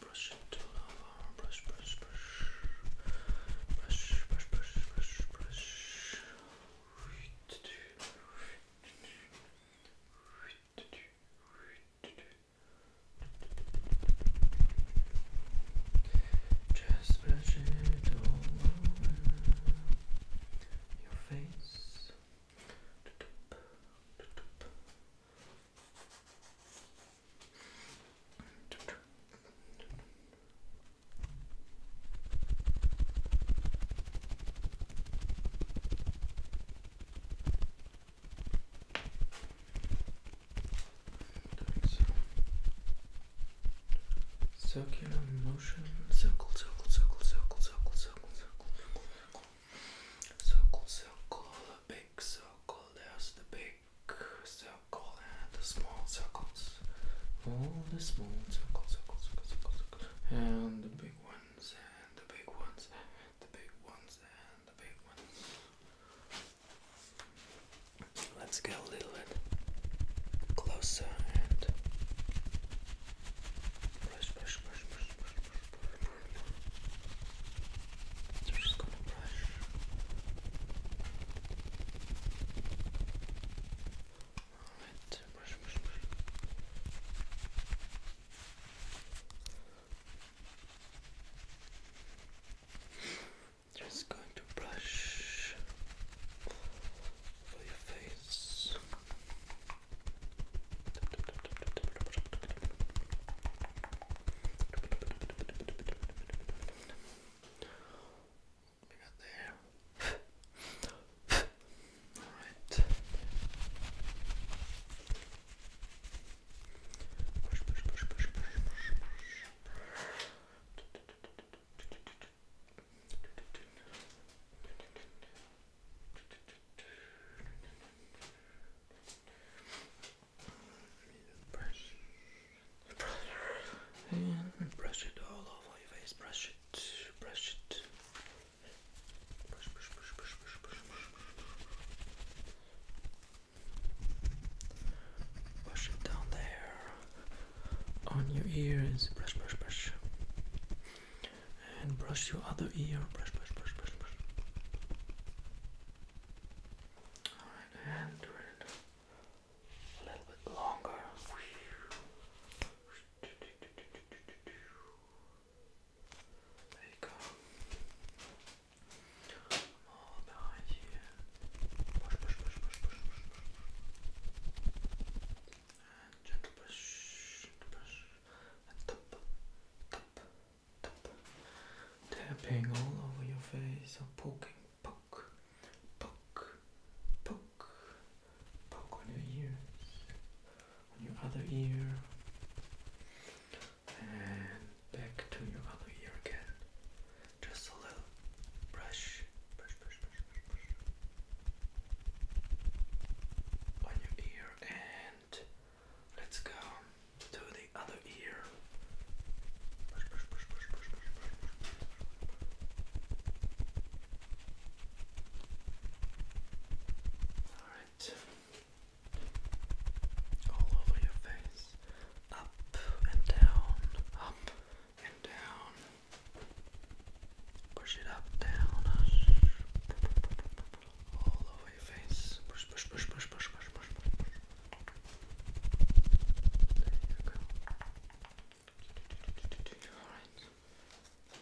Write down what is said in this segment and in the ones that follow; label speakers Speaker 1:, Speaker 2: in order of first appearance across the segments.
Speaker 1: Brush it till over. Brush, brush, brush. Brush, brush, brush, brush, brush. Right to do. Right to do. Right to do. Right to do. Just brush it all over your face. Nice. Circular motion. Circle, circle, circle, circle, circle, circle, circle, circle, circle, circle, a big circle. There's the big circle and the small circles. All the small circles, circles, circles, circles, circles. and the big ones and the big ones the big ones and the big ones. Let's get a little bit closer and brush, brush, brush, brush, brush, brush, brush, brush. So just gonna brush. Alright, brush, brush, brush. Just going to brush your face. We got there. All right. Push, push, push, push, push, push, push. And brush it all over your face. Brush it, brush it, Push, push, push, push, push, push, push, push. Push it down there on your ears. Brush, brush, brush. And brush your other ear. Brush, brush, brush, brush, brush. Alright, and do it a little bit longer. There you go. All behind you. Push, push, push, push, push, push, push. And gentle push, gentle push. And tap, tap, tap. Tapping all over your face or poking. Poke, poke, poke, poke on your ears on your other ear and back to your other ear again. Just a little brush, brush, brush, brush, brush, brush. on your ear, and let's go to the other ear. Brush, brush, brush, brush, brush, brush, brush, brush. All right. All over your face. Up and down. Up and down. Push it up, down. All over your face. Push, push, push, push, push, push, push, push. There you go. Alright.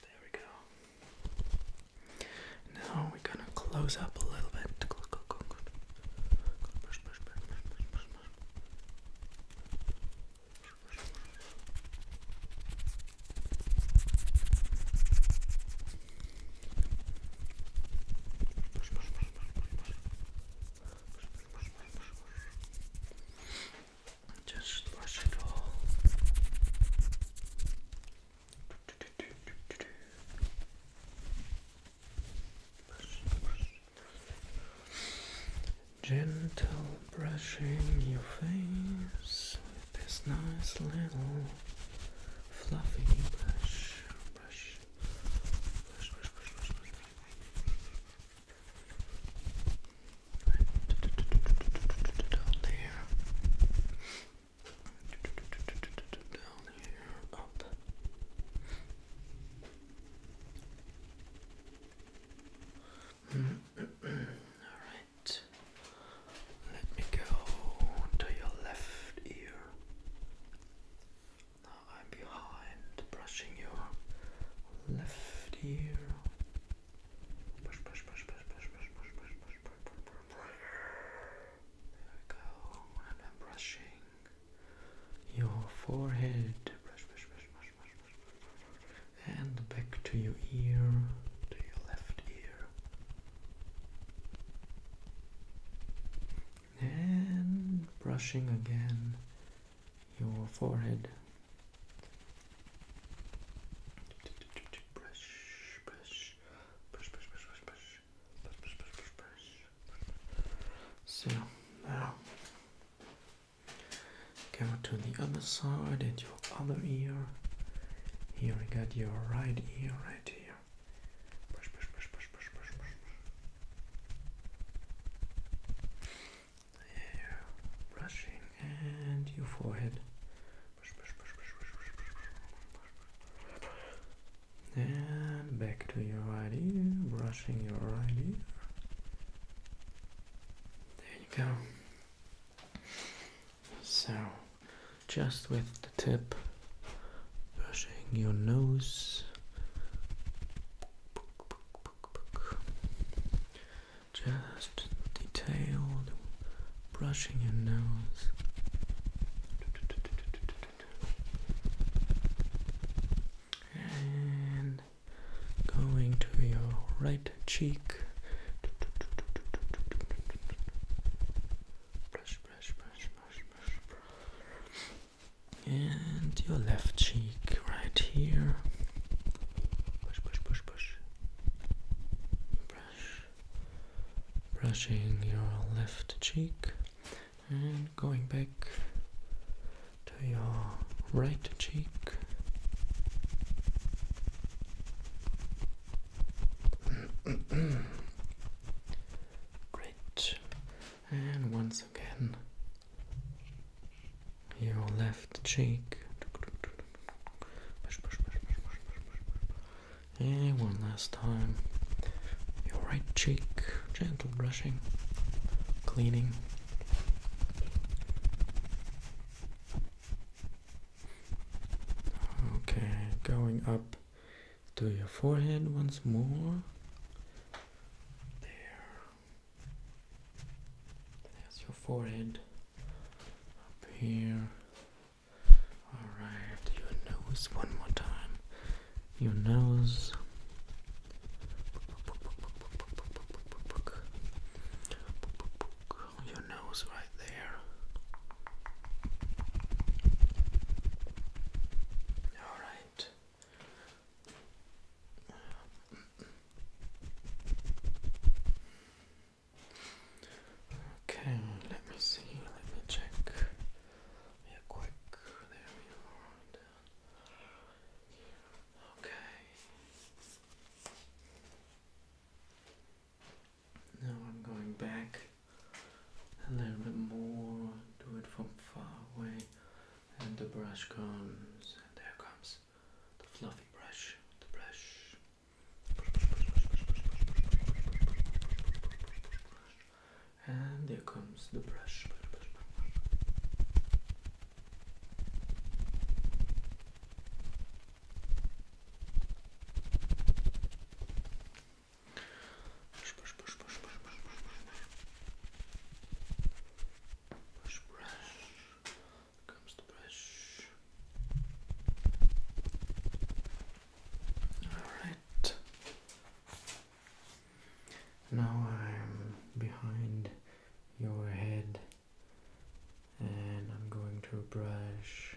Speaker 1: There we go. Now we're gonna close up a little bit. Just brush it all. Gentle brushing your face with this nice little fluffy brush, brush, down there. Down here. Up. Alright. Let me go to your left ear. I'm behind, brushing your left ear. Brush, brush, brush, brush, brush, brush, brush, brush, brush, brush, brush, There we go. I'm brushing your forehead. Brush, brush, brush, brush, brush, brush, brush. And back to your ear, to your left ear and brushing again your forehead. So now go to the other side and your other ear. Here we got your right ear right here brushing and your forehead. And back to your right ear, brushing your right ear. There you go. So just with the tip, brushing your nose. Just detailed brushing your nose. And going to your right cheek. Brush, brush, brush, and your left cheek right here. Push, push, push, push. Brush. Brushing your left cheek and going back to your right cheek. and once again, your left cheek. And one last time, your right cheek, gentle brushing, cleaning. Okay, going up to your forehead once more. There. That's your forehead. Up here. Alright, your nose one more time. Your nose. Your nose right there. All right. Okay, let me see. Let me check. Yeah, quick. There we are. Okay. Now I'm going back a little bit more, do it from far away, and the brush comes, and there comes the fluffy brush, the brush. And there comes the brush. Brush, brush, brush, brush, brush, brush, brush, brush, brush, brush. Comes the brush. All right. Now I'm behind your head, and I'm going to brush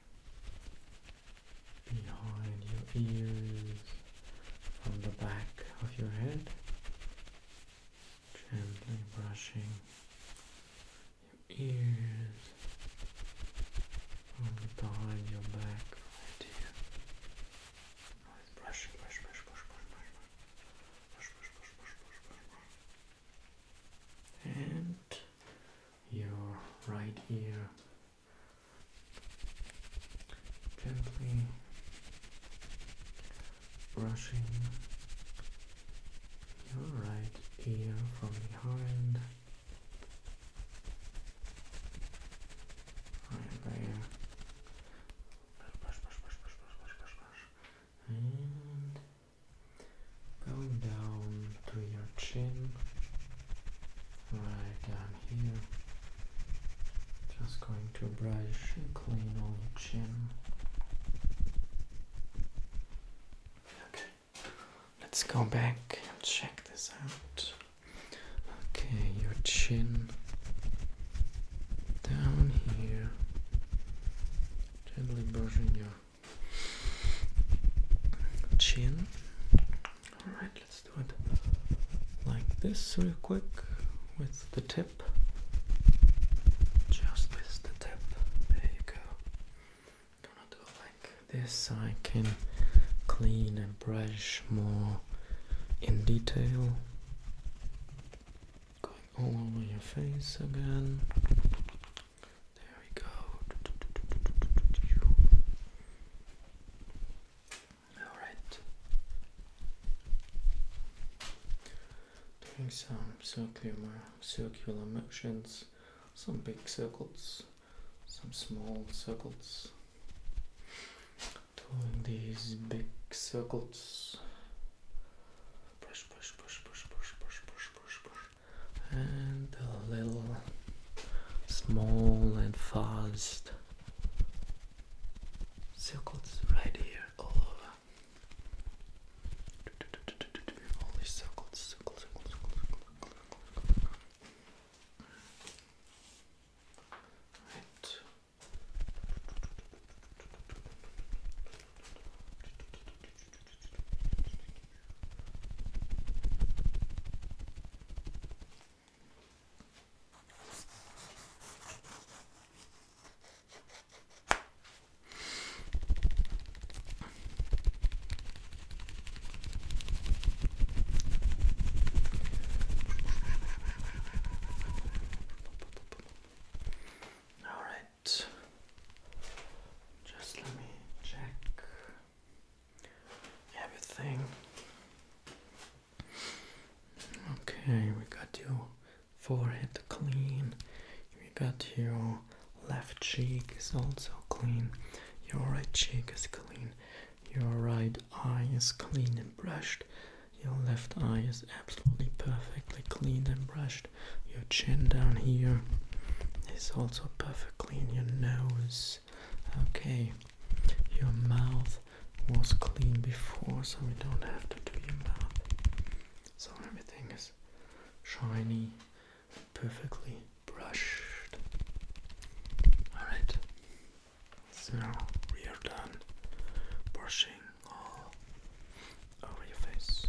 Speaker 1: behind your ears, on the back of your head, gently brushing your ears from behind your back right here. Nice brushing, brush, brush, brush, brush, brush, brush, brush, brush, brush, brush, And your right ear gently brushing your right ear from behind right there and going down to your chin, right down here. Just going to brush and clean all your chin. Okay, let's go back and check this out. Okay, your chin down here, gently brushing your chin Alright, let's do it like this real quick with the tip. Just with the tip. There you go. gonna do like this. I can clean and brush more in detail. Going all over your face again. There we go. Alright. Doing some circular, circular motions, some big circles, some small circles. Doing these big circles. Brush, brush, brush, brush, brush, brush, brush, brush, and a little small and fast circles right here all over. All these circles, circles, circles, circles, circles, circles. Right. All right, just let me check everything. Okay, we got your forehead clean, we got your left cheek is also clean, your right cheek is clean, your right eye is clean and brushed, your left eye is absolutely perfectly clean and brushed, your chin down here is also perfect clean your nose. Okay, your mouth was clean before, so we don't have to do your mouth. So everything is shiny, perfectly brushed. Alright, so we are done brushing all over your face.